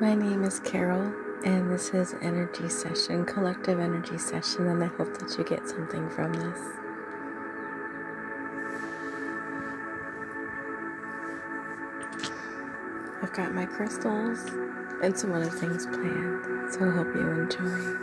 My name is Carol, and this is Energy Session, Collective Energy Session, and I hope that you get something from this. I've got my crystals and some other things planned, so I hope you enjoy.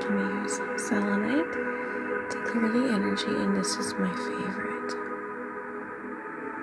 Can we use selenite to clear the energy? And this is my favorite.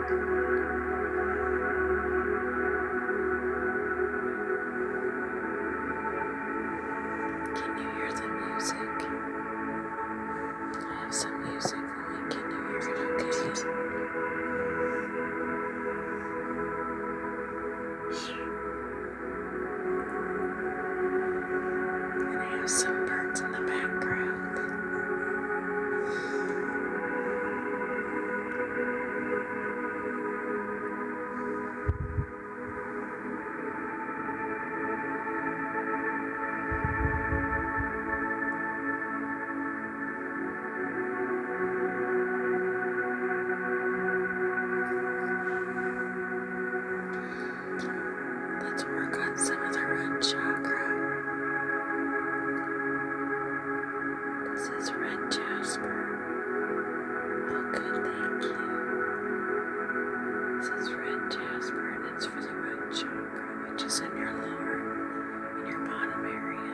Can you hear the music? I have some music going. Can you hear it okay? And I have some birds in the background. Let's work on some of the root chakra. This is red jasper. Oh, good, thank you. This is red jasper, and it's for the red chakra, which is in your lower, in your bottom area.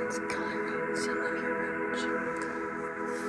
It's coloring some of your roach.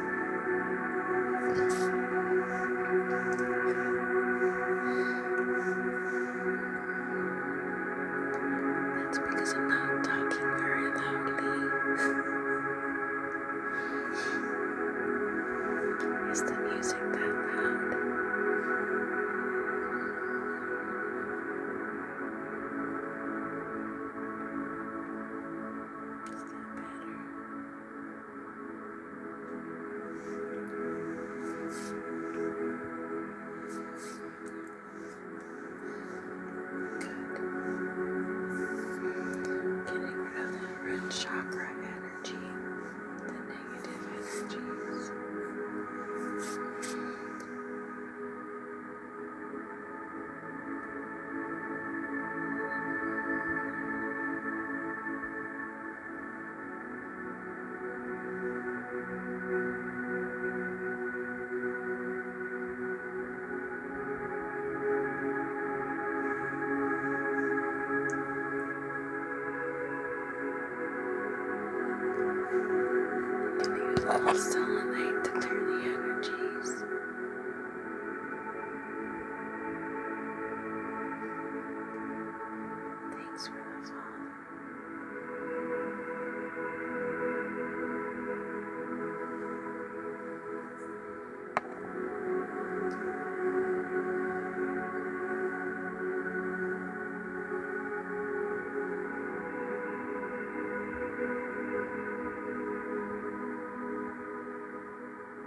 That's because I'm not talking very loudly. Is the music that loud? Is that better? Good. Getting rid of the root chakra energy, the negative energies. Good. Still a light to turn the energies. Thanks for the follow.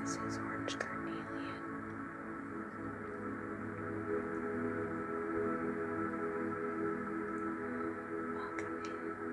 This is orange carnelian. Welcome in.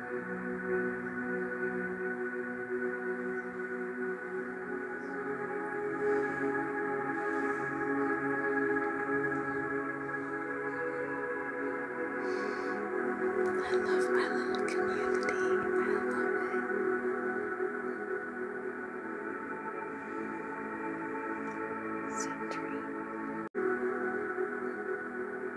I love my little community. I love it. Sentry.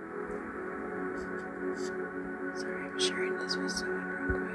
Sorry, I'm sharing this with someone real quick.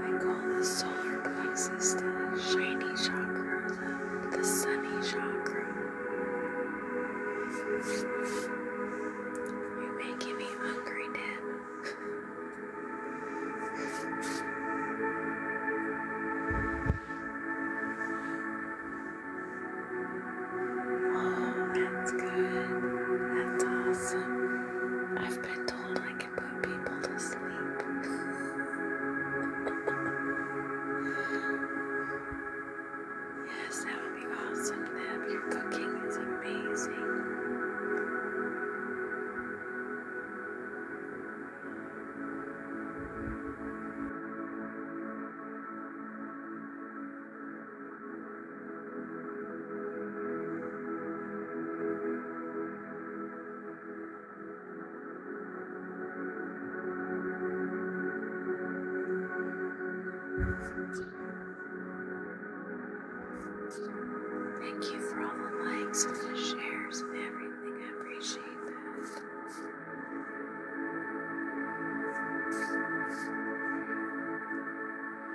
I call the solar plexus the shiny chakra, the, sunny chakra. You're making me hungry, Deb. Oh, that's good. That's awesome. I've been told I can put people to sleep. yes, that would be awesome, Your cooking is amazing. Thank you for all the likes and the shares and everything. I appreciate that.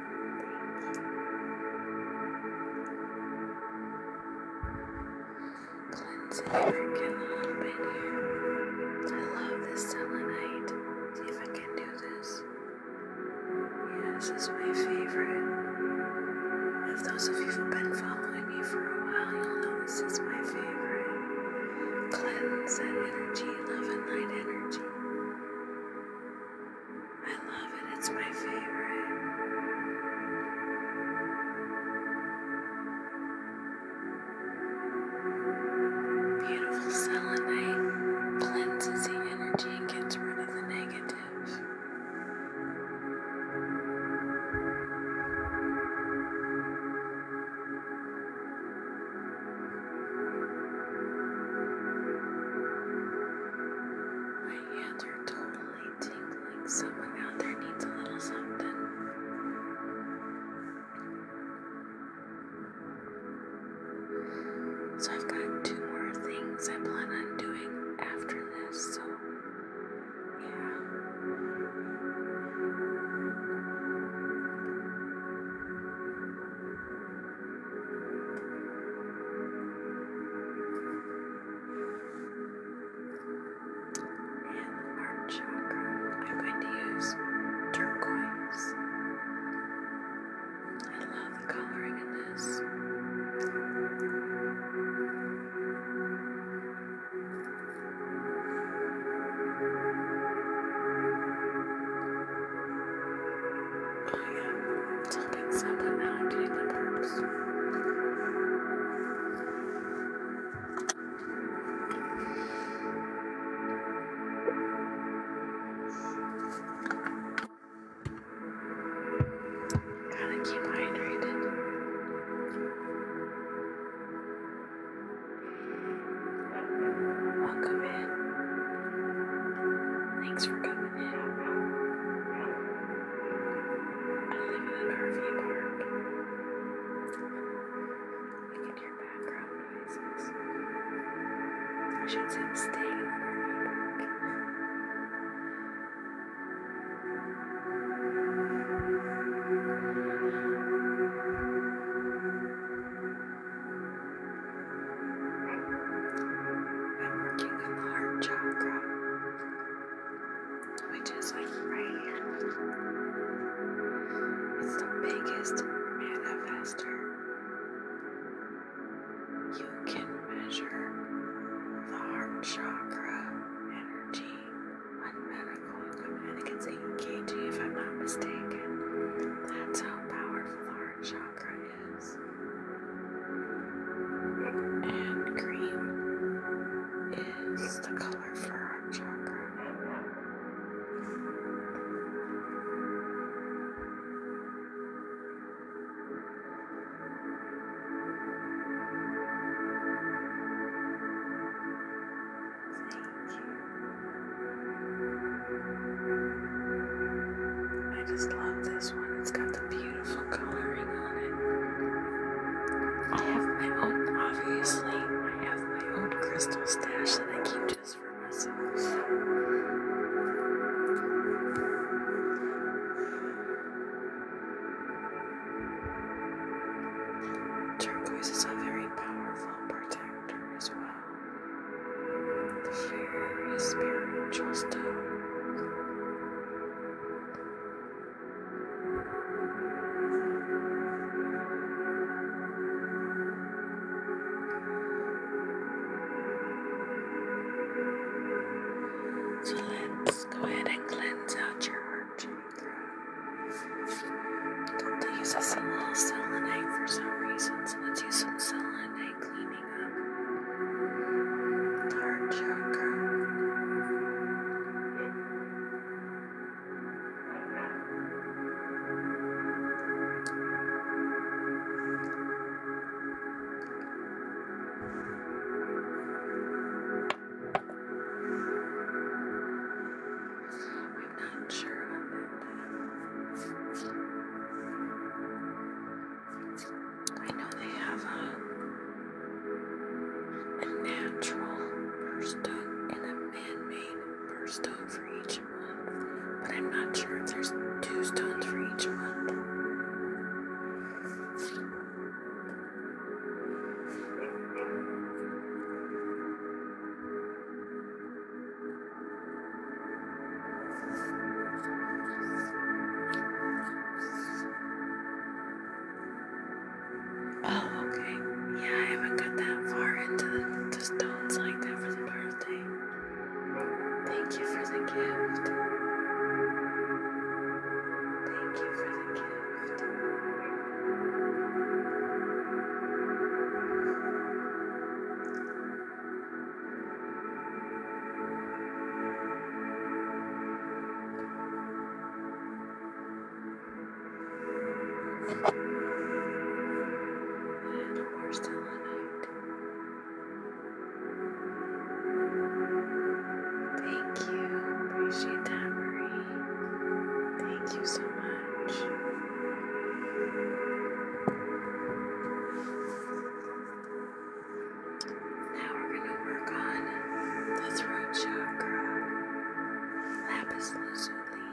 Cleansing again a little bit here. I love this selenite. See if I can do this. Yeah, this is my favorite. If those of you who've been following me for a while, you'll know this is my favorite. Cleanse that energy, love and light energy. I love it, it's my favorite. Beautiful selenite cleanses the energy and gets rid of the negative. My hands are totally tingling. Someone out there needs a little something. So I've got two more things I plan on doing after this. So yeah. And the heart I'm going to use turquoise. I love the coloring in this. I am tapping something that I did on purpose. Gotta keep hydrated. Welcome in. Thanks for coming. You can hear background noises. I should say I'm staying in Murphy Park. I'm working on the heart chakra, which is like right It's the biggest manifester. You can measure the heart chakra energy on medical equipment. it's 8 if I'm not mistaken. That's how powerful the heart chakra and green is the color for our chakra. Thank I just love this I have my own, obviously, I have my own crystal stash that I keep just for myself. Turquoise is a very powerful protector as well various spiritual stones. So let's go ahead and cleanse out your heart chakra. do use a little selenite for some reason, let's use some selenite opening up the heart chakra. I'm not sure about that. I know they have a, natural burst and a man made burst stone for each month, but I'm not sure if there's two stones for each month. Oh, okay. Yeah, I haven't got that far into the, stones like that for the birthday. Thank you for the gift. Thank you for the gift. We're still alike. Thank you. Appreciate that, Marie. Thank you so much. Now we're going to work on the throat chakra, lapis lazuli.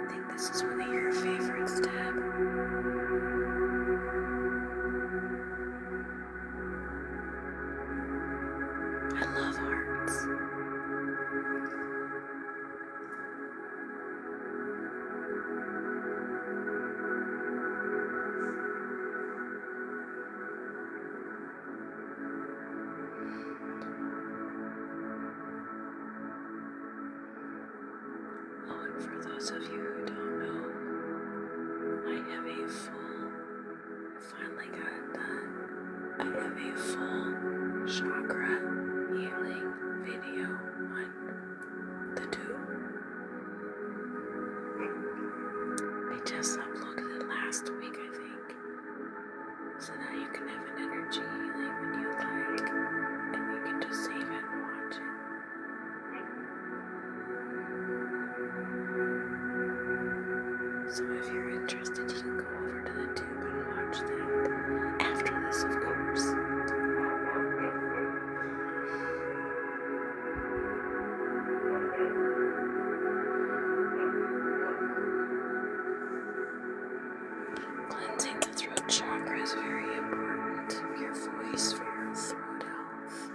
I think this is one of your favorite steps. I love hearts. Oh, and for those of you who don't know, I have a full, finally got it done. I have a full chakra healing video on the two. I just uploaded it last week, I think. So now you can have an energy healing when you like, and you can just save it and watch it. So if you're interested, you can go over to the tube and watch that. After this, of course. Cleansing the throat chakra is very important. Your voice for your throat health.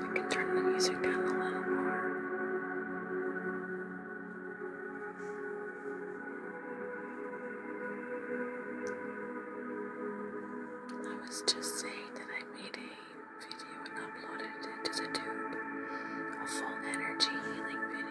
I can turn the music down a little more. I was just saying that I made a video and uploaded it to the tube. A full energy healing video.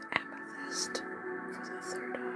amethyst for the third eye.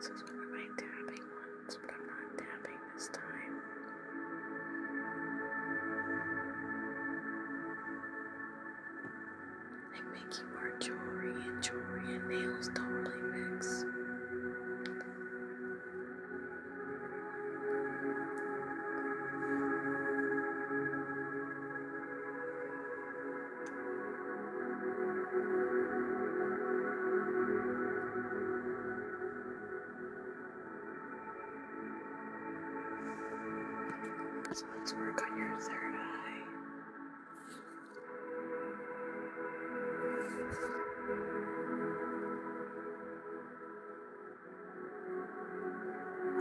This is one of my tapping ones, but I'm not tapping during this time. make you wear jewelry and jewelry and nails totally mix. So let's work on your third eye.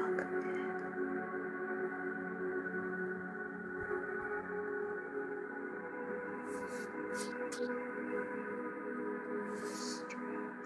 Welcome in. Stress,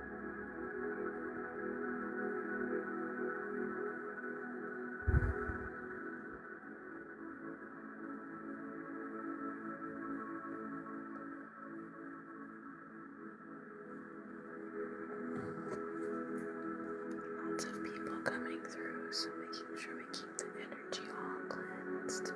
Lots of people coming through, so making sure we keep the energy all cleansed.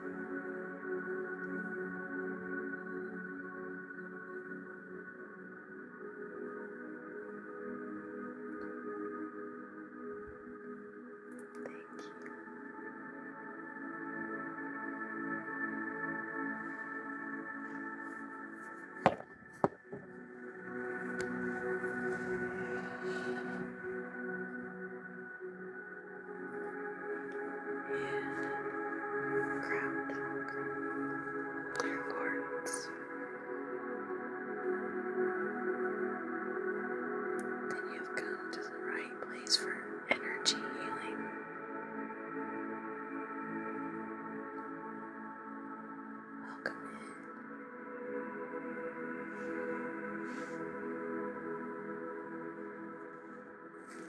And uh, groundhog. Lawrence. Then you have come to the right place for energy healing. Welcome in.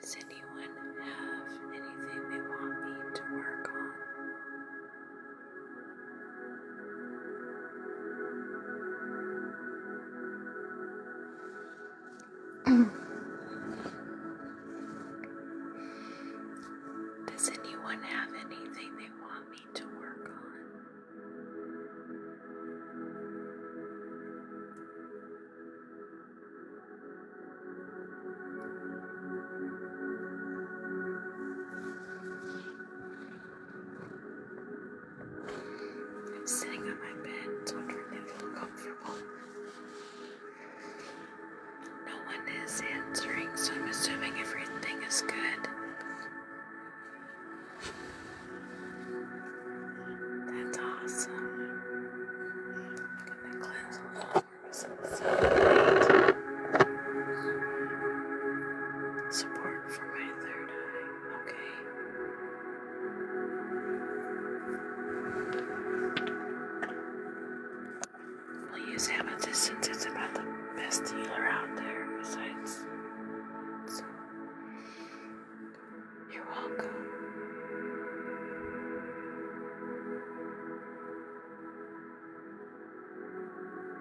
Does anyone have anything they want me to work on? Does anyone have anything they want me to work on? I'm sitting on my bed, wondering if comfortable. No one is answering, so I'm assuming everything is good. That's awesome. I'm gonna Support for my third eye. Okay. We'll use it's about the best healer out there besides. You're welcome.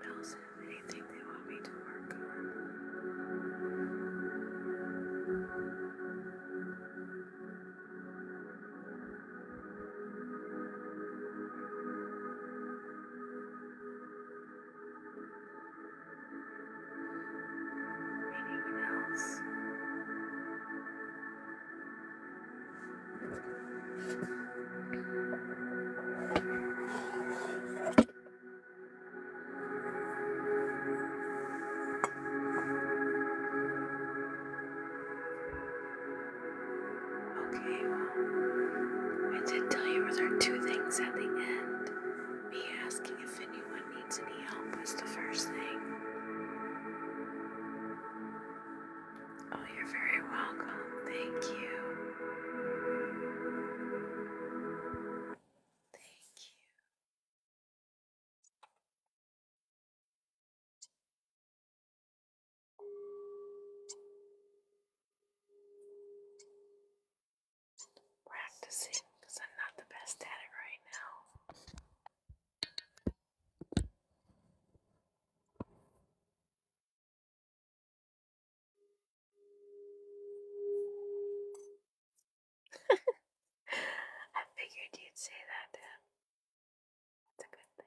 Anyone else anything they want me to work on? Anyone else? Okay, I did tell you there are two things at the end. Me asking if anyone needs any help was the first thing. Oh, you're very welcome. Thank you. Thank you. Practicing because I'm not the best at it right now. I figured you'd say that to a good thing.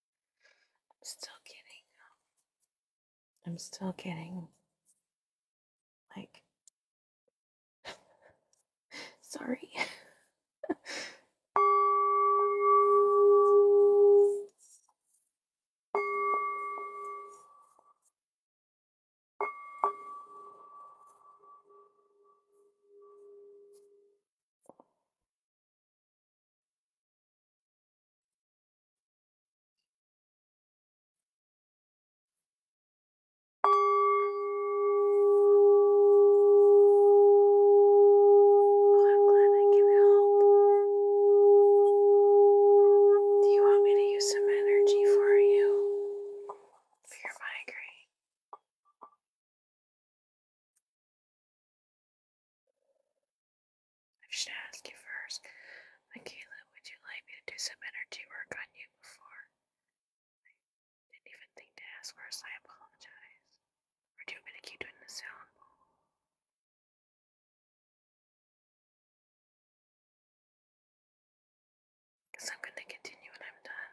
I'm still getting, I'm still getting, like, sorry. Oh, I'm glad I can help. Do you want me to use some energy for you? For your migraine? I should ask you first, Michaela, would you like me to do some energy work on you before? I didn't even think to ask first, I apologize. Or you want me the sound? Because I'm going to continue when I'm done.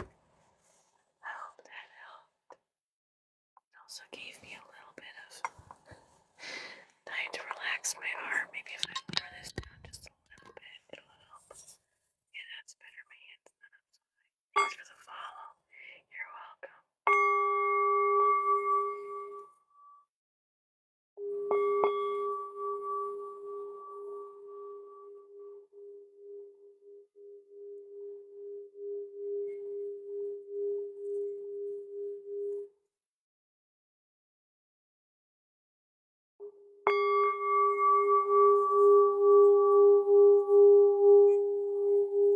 I hope that helped. It also gave me a little bit of time to relax my arm. Maybe if I lower this down just a little bit, it'll help. Yeah, that's better. hand's not up so Thanks for the follow. You're welcome. Thank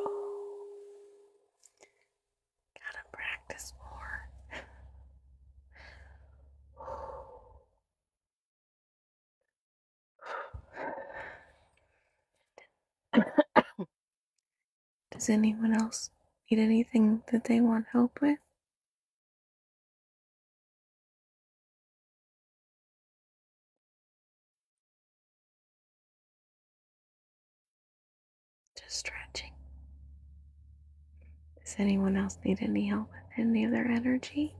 Oh, gotta practice more. Does anyone else need anything that they want help with? Just stretching. Does anyone else need any help with any of their energy?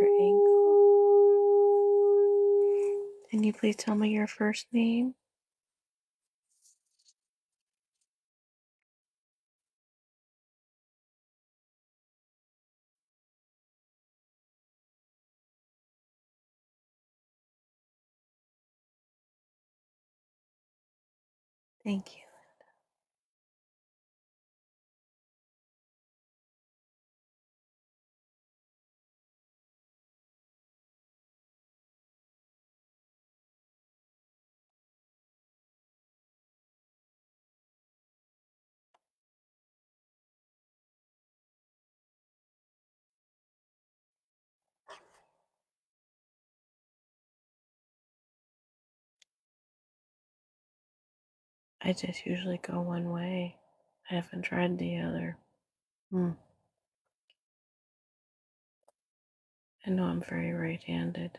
your ankle can you please tell me your first name? Thank you. I just usually go one way. I haven't tried the other. Mm. I know I'm very right handed.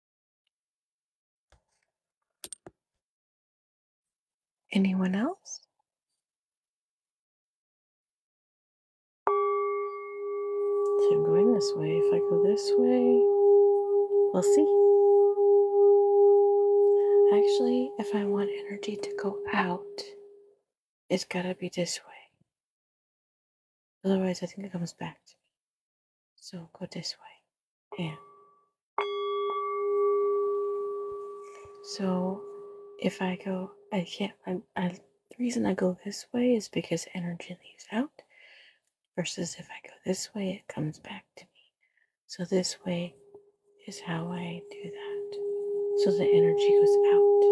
Anyone else? I'm going this way. If I go this way, we'll see. Actually, if I want energy to go out, it's gotta be this way. Otherwise, I think it comes back to me. So go this way. Yeah. So if I go, I can't, I, the reason I go this way is because energy leaves out, versus if I go this way, it comes back to me. So this way is how I do that. So the energy goes out.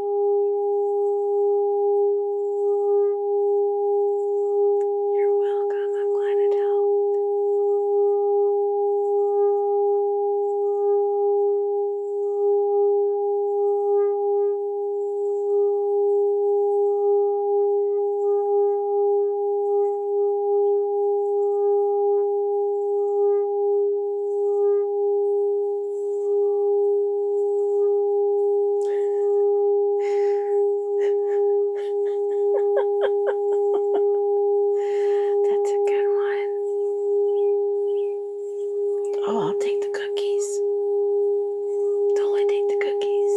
You're welcome. I'm glad it helped. That's a good one. Oh, I'll take the cookies. Totally take the cookies.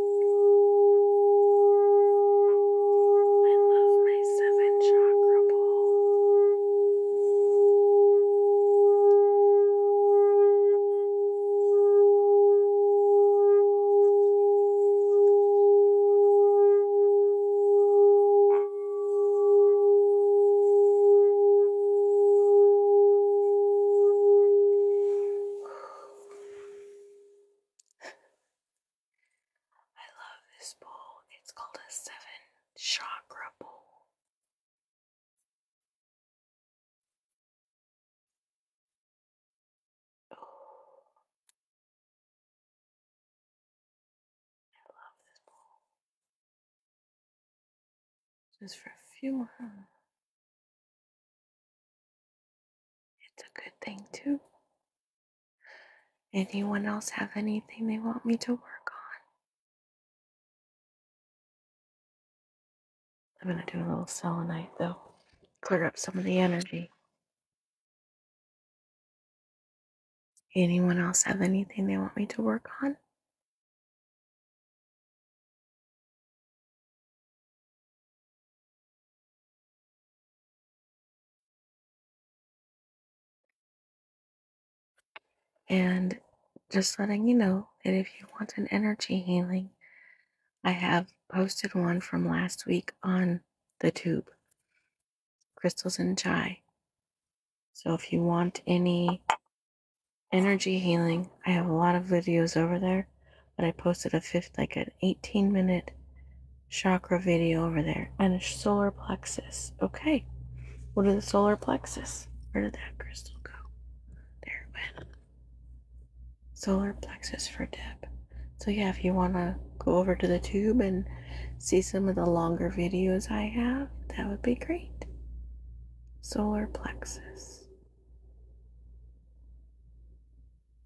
I love my seven chakra bowl. I love this bowl. It's called a seven chakra bowl. Oh, I love this bowl. Just for a few. Huh? It's a good thing, too. Anyone else have anything they want me to work on? I'm going to do a little selenite, though, clear up some of the energy. Anyone else have anything they want me to work on? And just letting you know that if you want an energy healing, I have posted one from last week on the tube crystals and chai. So if you want any energy healing, I have a lot of videos over there but I posted a fifth, like an 18 minute chakra video over there and a solar plexus. Okay, what are the solar plexus? Where did that crystal go? There it went. Solar plexus for Deb. So, yeah, if you want to go over to the tube and see some of the longer videos I have, that would be great. Solar plexus.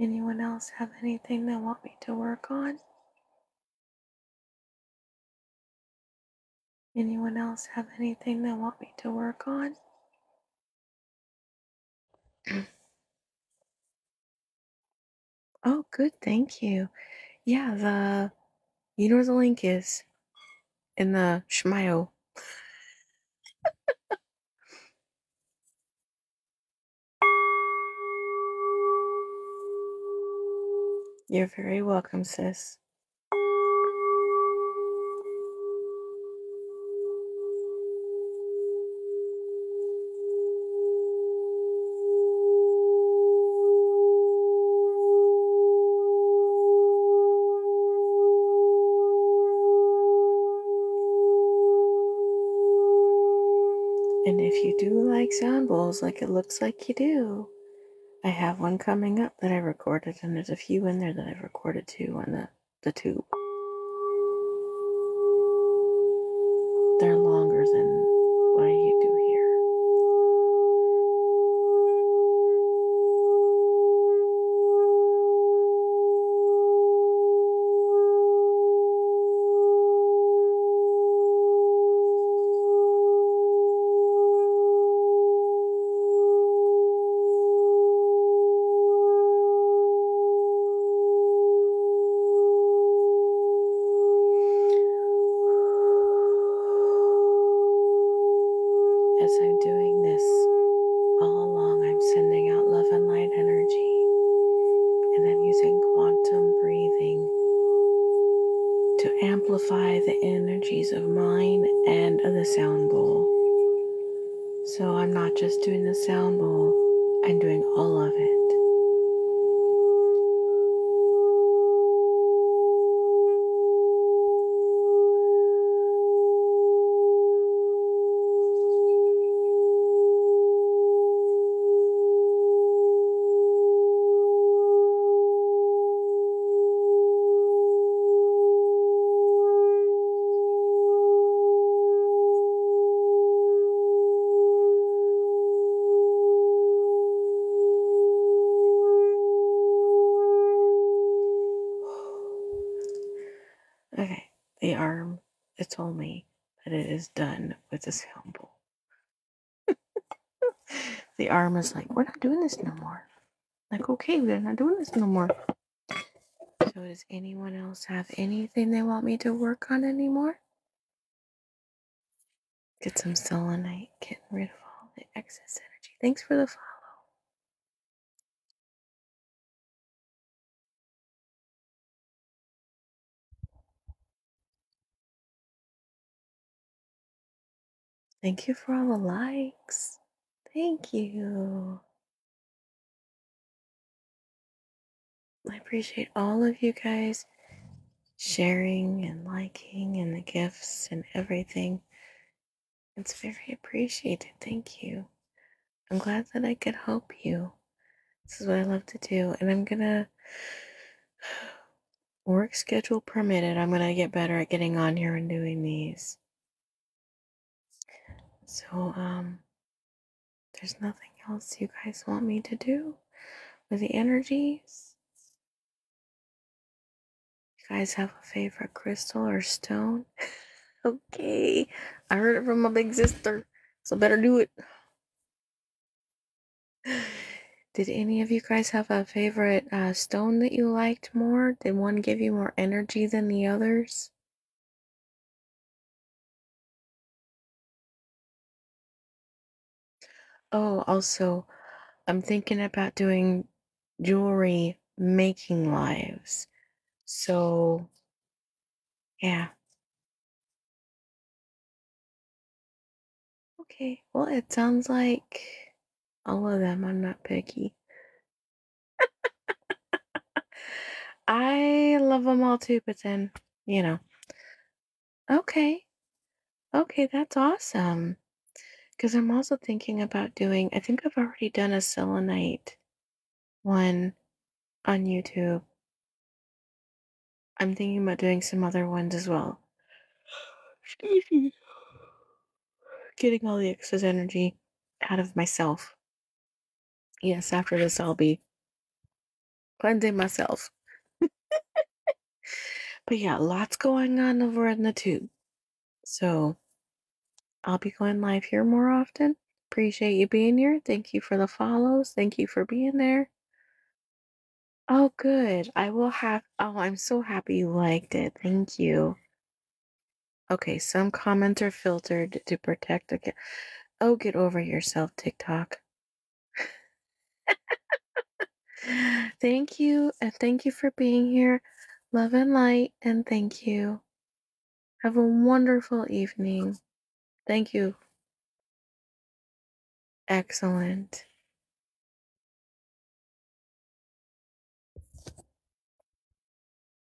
Anyone else have anything they want me to work on? Anyone else have anything they want me to work on? Oh, good. Thank you. Yeah, the you know where the link is in the schmio. You're very welcome, sis. And if you do like sound bowls, like it looks like you do, I have one coming up that I recorded, and there's a few in there that I've recorded too on the the tube. They're longer than what I do here. As I'm doing this all along, I'm sending out love and light energy, and I'm using quantum breathing to amplify the energies of mine and of the sound bowl. So I'm not just doing the sound bowl, I'm doing all of it. Okay, the arm that told me that it is done with this sound the arm is like, we're not doing this no more. Like, okay, we're not doing this no more. So, does anyone else have anything they want me to work on anymore? Get some selenite, getting rid of all the excess energy. Thanks for the follow. Thank you for all the likes. Thank you. I appreciate all of you guys sharing and liking and the gifts and everything. It's very appreciated. Thank you. I'm glad that I could help you. This is what I love to do. And I'm going to work schedule permitted. I'm going to get better at getting on here and doing these. So, um, there's nothing else you guys want me to do with the energies. You guys have a favorite crystal or stone? okay, I heard it from my big sister, so better do it. Did any of you guys have a favorite uh, stone that you liked more? Did one give you more energy than the others? Oh, also, I'm thinking about doing jewelry making lives. So, yeah. Okay. Well, it sounds like all of them. I'm not picky. I love them all too, but then, you know. Okay. Okay, that's awesome. Because I'm also thinking about doing, I think I've already done a selenite one on YouTube. I'm thinking about doing some other ones as well. Getting all the excess energy out of myself. Yes, after this, I'll be cleansing myself. but yeah, lots going on over in the tube. So I'll be going live here more often. Appreciate you being here. Thank you for the follows. Thank you for being there. Oh, good. I will have. Oh, I'm so happy you liked it. Thank you. Okay, some comments are filtered to protect against. Oh, get over yourself, TikTok. thank you, and thank you for being here. Love and light, and thank you. Have a wonderful evening. Thank you. Excellent.